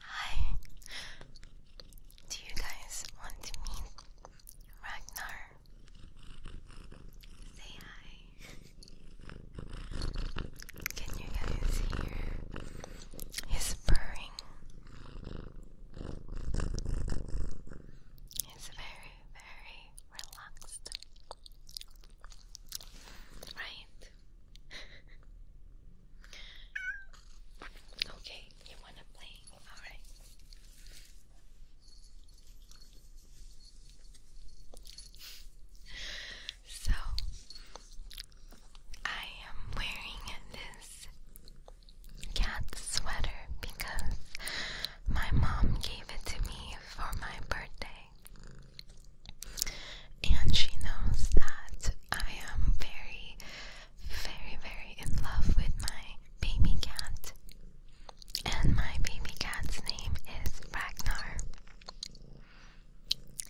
Hi. Do you guys want to meet Ragnar? Say hi. Can you guys hear his purring? He's very, very relaxed. Right? okay, you wanna play? Alright. So, I am wearing this cat sweater because my mom gave it to me for my birthday. And she knows that I am very, very, very in love with my baby cat. And my baby cat's name is Ragnar.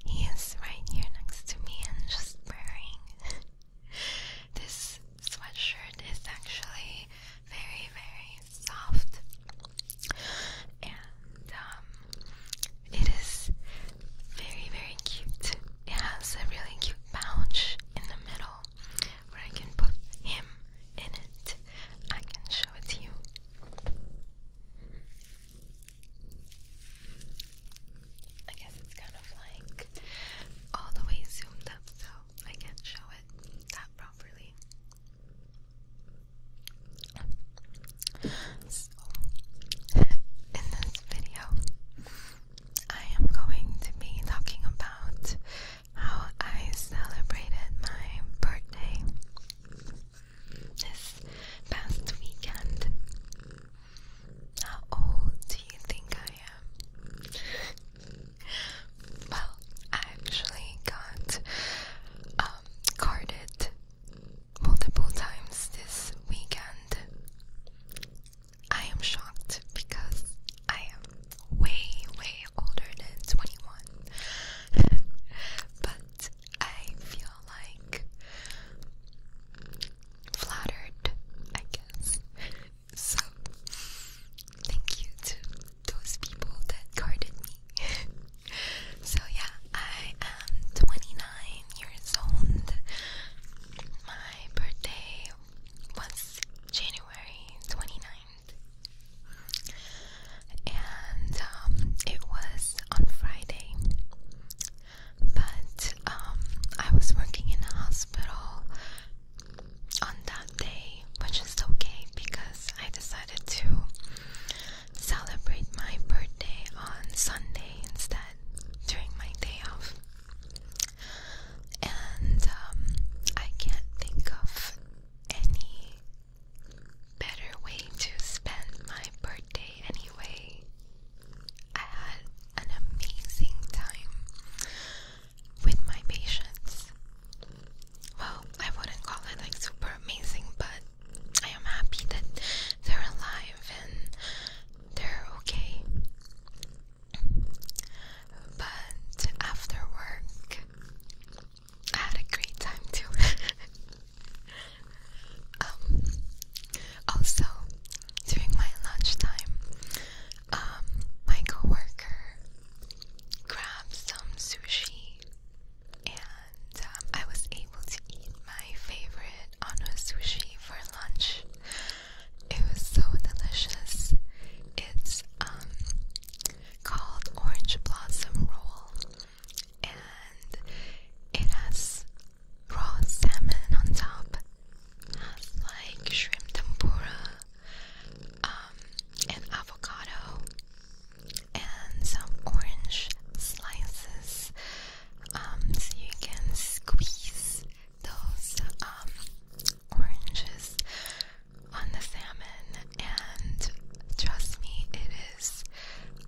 He is right here next to me and just purring. this sweatshirt is actually very, very, soft and um, it is very very cute. It has a really cute pouch in the middle where I can put him in it. I can show it to you. I guess it's kind of like all the way zoomed up so I can't show it that properly. So, in this video, I am going to be talking about how I celebrated my birthday this past weekend. How old do you think I am? well, I actually got um, carded multiple times this weekend. I am shocked because I am way, way older than 21. but I feel like flattered, I guess. so, thank you to those people that guarded me so yeah, I am 29 years old. My birthday was January 29th. And um, it was on Friday. But um, I was working in a hospital on that day, which is okay because I decided to celebrate my birthday on Sunday instead during my day off. And um, I can't think of any better way to spend my birthday anyway. I had an amazing time with my patients. Well, I wouldn't call it like super amazing, but I am happy that they're alive and they're okay. But after work, I had a great time too. Um, also, during my lunchtime, um, my coworker grabbed some sushi and um, I was able to eat my favorite Ano sushi for lunch. It was so delicious. It's um called orange blossom roll, and it has raw salmon on top. Has like shrimp tempura, um, and avocado, and some orange slices um, you can squeeze those um, oranges on the salmon and trust me it is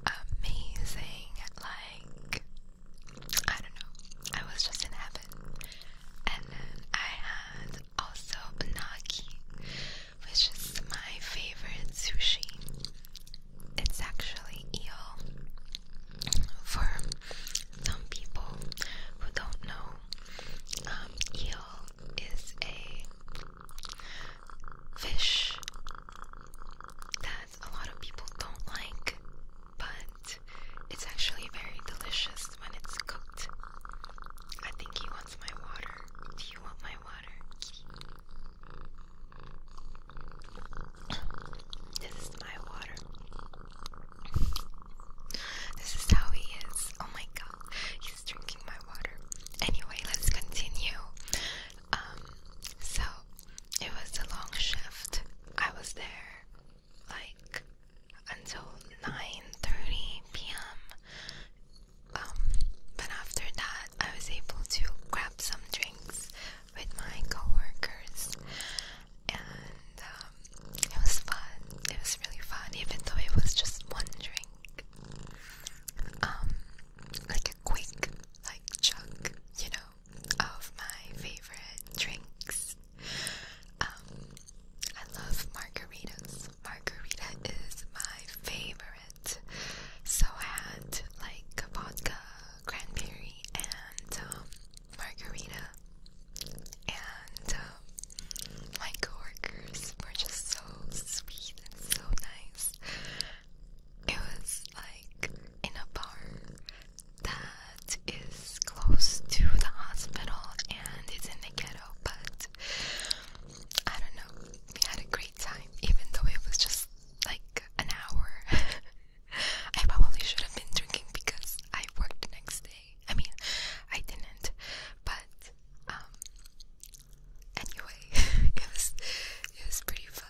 amazing like I don't know I was just in heaven and I had also gnocchi which is my favorite sushi. It's actually eel. For some people who don't know, um, eel is a fish that a lot of people don't like, but it's actually very delicious when it's cooked. I think he wants my water. Do you want my water? This is my water. This is how he is. Oh my god, he's drinking my water. Anyway, let's continue. Um, so it was a long shift. I was there like until 9:30 p.m. Um, but after that, I was able to grab some drinks with my coworkers, and um, it was fun. It was really fun, even though it was just one drink, um, like a quick, like chug, you know, of my favorite drinks. Um, I love margaritas. Margarita is my favorite so I had like vodka, cranberry, and um, margarita. And um, my coworkers were just so sweet and so nice. It was like in a bar that is close to the hospital and it's in the ghetto, but I don't know. We had a great even though it was just like an hour. I probably should have been drinking because I worked next day. I mean, I didn't, but um, anyway, it was it was pretty fun.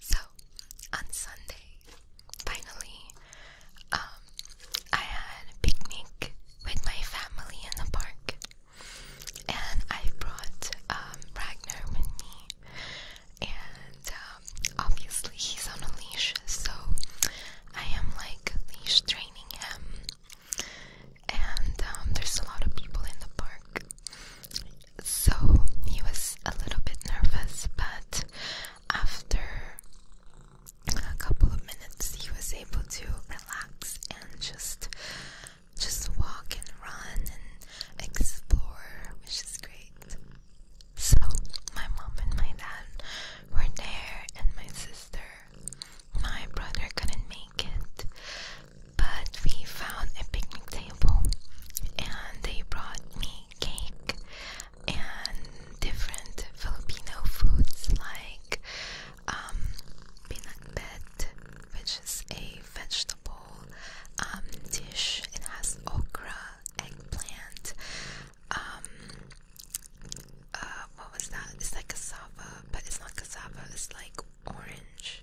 So on Sunday, finally, um, I had a picnic with my family in the park and I brought um, Ragnar with me, and um, obviously he's on a leash, so I am like leash training him. And um, there's a lot of people in the park, so he was a little bit nervous, but after a couple of minutes, he was able to relax and just just walk and run and explore, which is great. So, my mom and my dad were there, and my sister. My brother couldn't make it, but we found a picnic table, and they brought me cake and different Filipino foods like um, pinakbet, which is a vegetable um, dish. It has okra, eggplant, um, uh, what was that? It's like cassava, but it's not cassava, it's like orange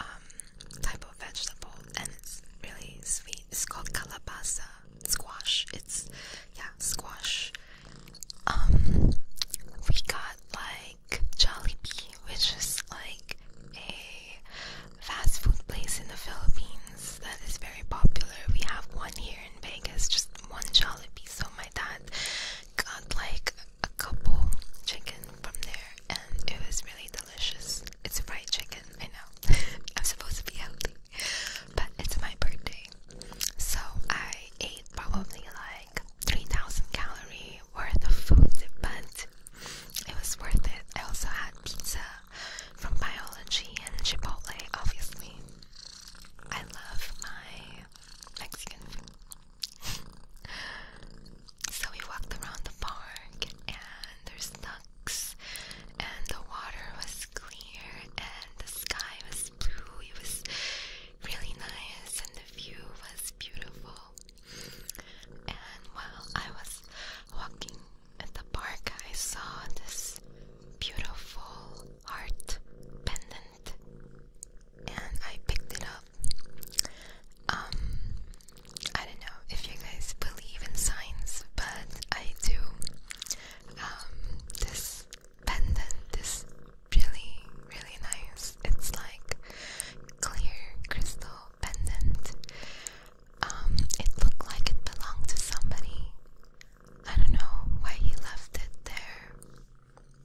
um, type of vegetable, and it's really sweet. It's called calabaza squash. It's, yeah, squash. we got like Jollibee, which is like a fast food place in the Philippines that is very popular. We have one here in Vegas, just one Jollibee. So my dad got like a couple chicken from there, and it was really delicious. It's fried chicken, I know. I'm supposed to be healthy, but it's my birthday, so I ate probably like. 3,000 calorie worth of food, but it was worth it. I also had pizza from Biology and Chipotle, obviously. I love my Mexican food. so we walked around the park, and there's ducks, and the water was clear, and the sky was blue. It was really nice, and the view was beautiful. And while I was walking at the park, I saw this beautiful heart pendant and I picked it up. Um, I don't know if you guys believe in signs, but I do. Um, this pendant is really, really nice. It's like clear crystal little pendant. Um, it looked like it belonged to somebody. I don't know why he left it there,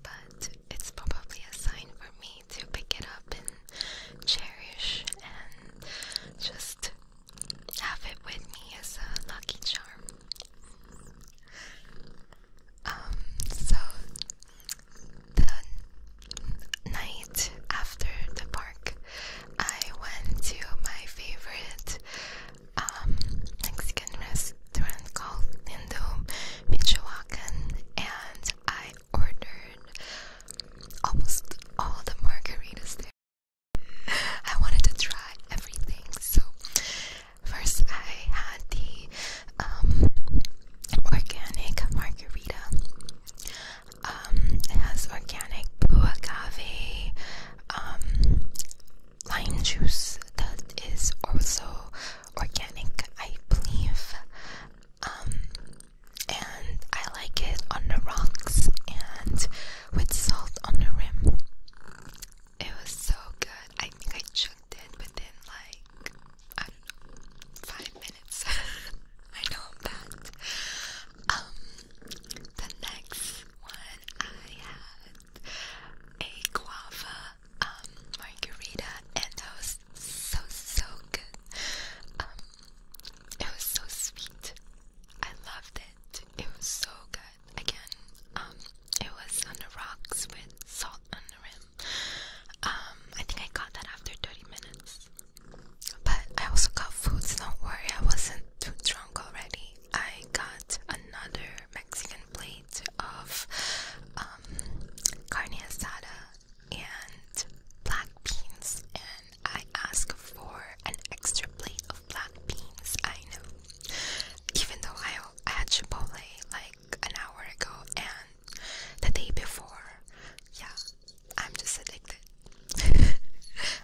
but it's probably a sign for me to pick it up and cherish and just have it with me as a lucky charm. Um, so the night after the park, I went to my favorite um, Mexican restaurant called Lindo Michoacan, and I ordered almost all the margaritas there. I wanted to try everything, so first I had the um, organic margarita. Um, has organic buagave, um, lime juice that is also organic, I believe. Um, and I like it on the rocks and with salt on the rim. It was so good. I think I choked it but then like I do I know I'm um, bad. the next one I had a guava um, margarita, and that was so so good. Um, it was so sweet. I loved it. It was so good. Again, it was on the rocks with salt um, I think I got that after 30 minutes. But I also got food, so don't worry, I wasn't too drunk already. I got another Mexican plate of um, carne asada and black beans, and I asked for an extra plate of black beans. I know, even though I, I had Chipotle like an hour ago, and the day before. Yeah, I'm just addicted.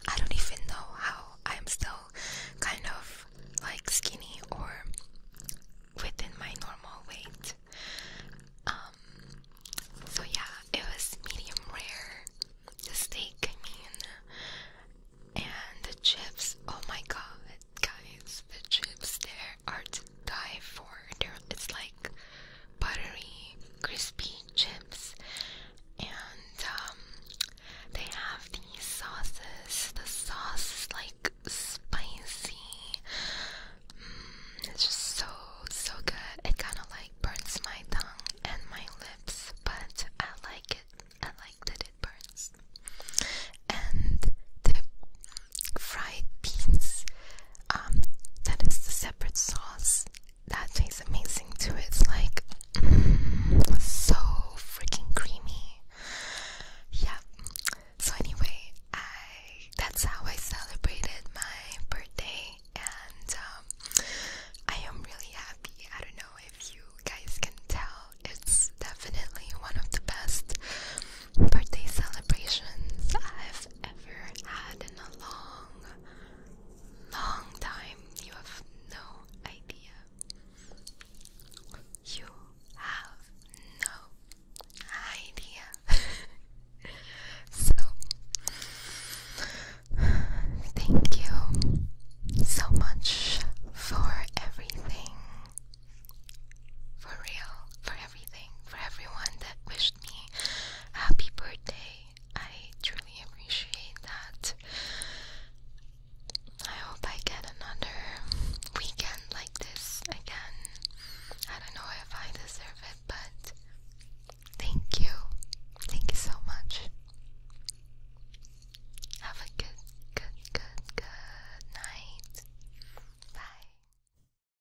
I don't even know how I'm still kind of like skinny or within my normal weight. Um, so yeah, it was medium rare. The steak, I mean, and the chips. Oh my god, guys, the chips there are die for. it's like buttery, crispy chips, and um, they have these sauces. The sauce like spicy. Mm, it's just so so good. It kind of like burns my tongue and my lips, but I like it. I like that it burns. And the fried beans. Um, that is the separate sauce. That tastes amazing too. It's like mm, so freaking creamy. Yeah. So anyway, I that's how I celebrated my birthday, and um, I am really happy. I don't know if you guys can tell. It's definitely one of the best birthday celebrations I've ever had in a long, long time. You have no idea. You have no idea. so, thank you so much for everything. For real, for for everyone that wished me happy birthday. I truly appreciate that. I hope I get another weekend like this again. I don't know if I deserve it, but thank you. Thank you so much. Have a good, good, good, good night. Bye.